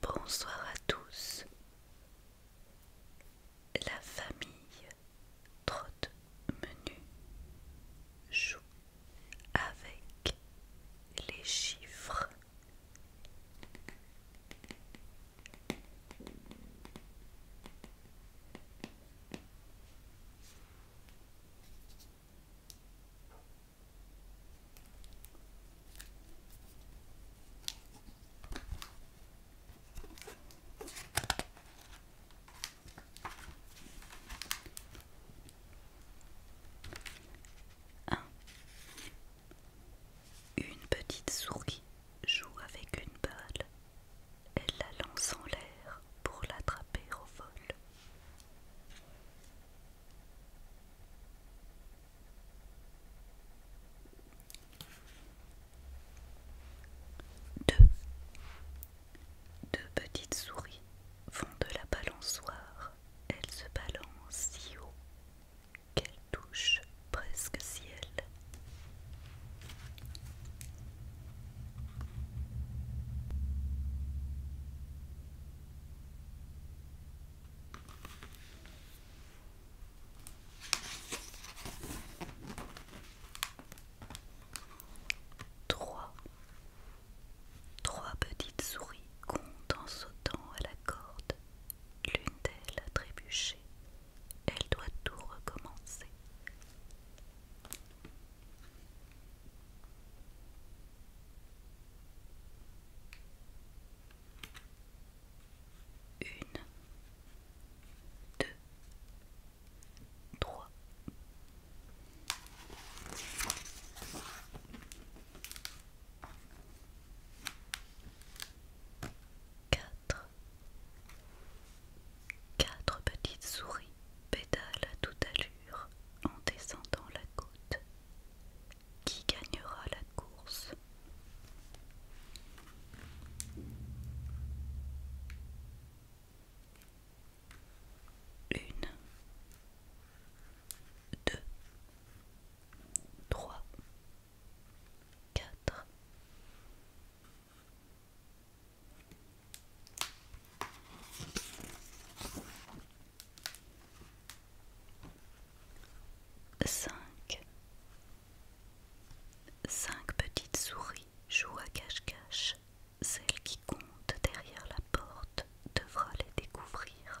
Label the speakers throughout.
Speaker 1: Bonsoir à tous. La famille trotte menu joue avec les chiffres une petite souris joue avec une balle Elle la lance en l'air pour l'attraper au vol. Deux. Deux petites souris font de la balançoire. Elles se balancent si haut qu'elle touche presque ciel. Trois. Trois petites souris comptent en sautant à la corde. L'une d'elles a trébuché, elle doit tout recommencer. Une, deux, trois. Quatre. Quatre petites souris pédalent à toute allure en descendant la côte. Qui gagnera la course Une, deux, trois, 5 Cinq petites souris jouent à cache-cache. Celle qui compte derrière la porte devra les découvrir.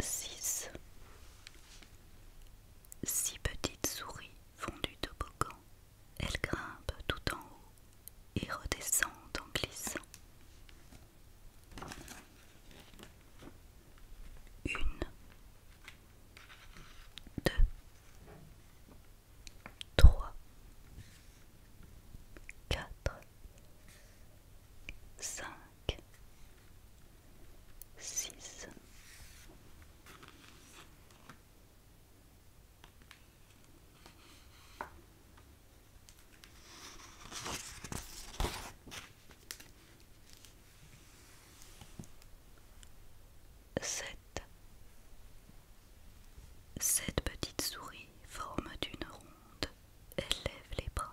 Speaker 1: 6. 6 petites souris fondues de bocamps. Elles grimpent tout en haut et redescendent en glissant. 1. 2. 3. 4. 5. 6 7 Sept petites souris forment d'une ronde, elles les bras,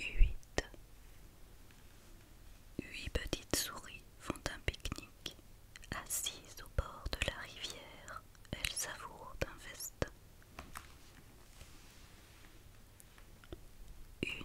Speaker 1: Huit. Huit petites souris font un pique-nique. Assises au bord de la rivière, elles savourent un festin. Une.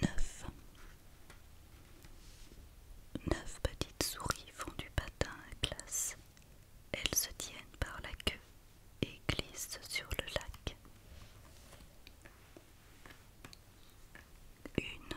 Speaker 1: Neuf. Neuf petites souris font du patin à glace. Elles se tiennent par la queue et glissent sur le lac. Une,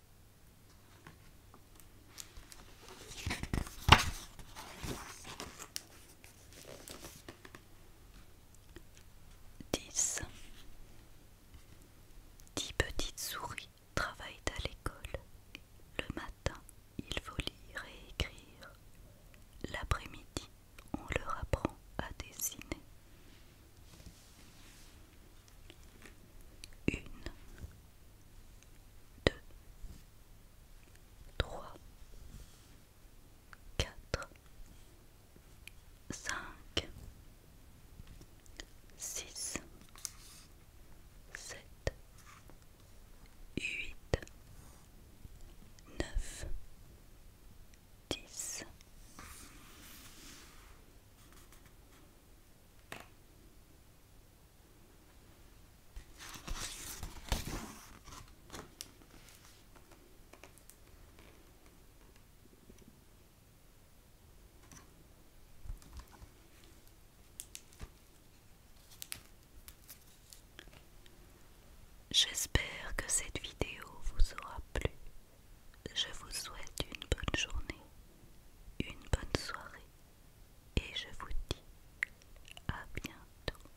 Speaker 1: Dix. 10 petites souris travaillent à l'école. Le matin, il faut lire et écrire. L'après-midi, on leur apprend à dessiner. Une, deux, trois, quatre, cinq, six, sept, huit, neuf, dix. J'espère que cette vidéo vous aura plu. Je vous souhaite une bonne journée, une bonne soirée et je vous dis à bientôt.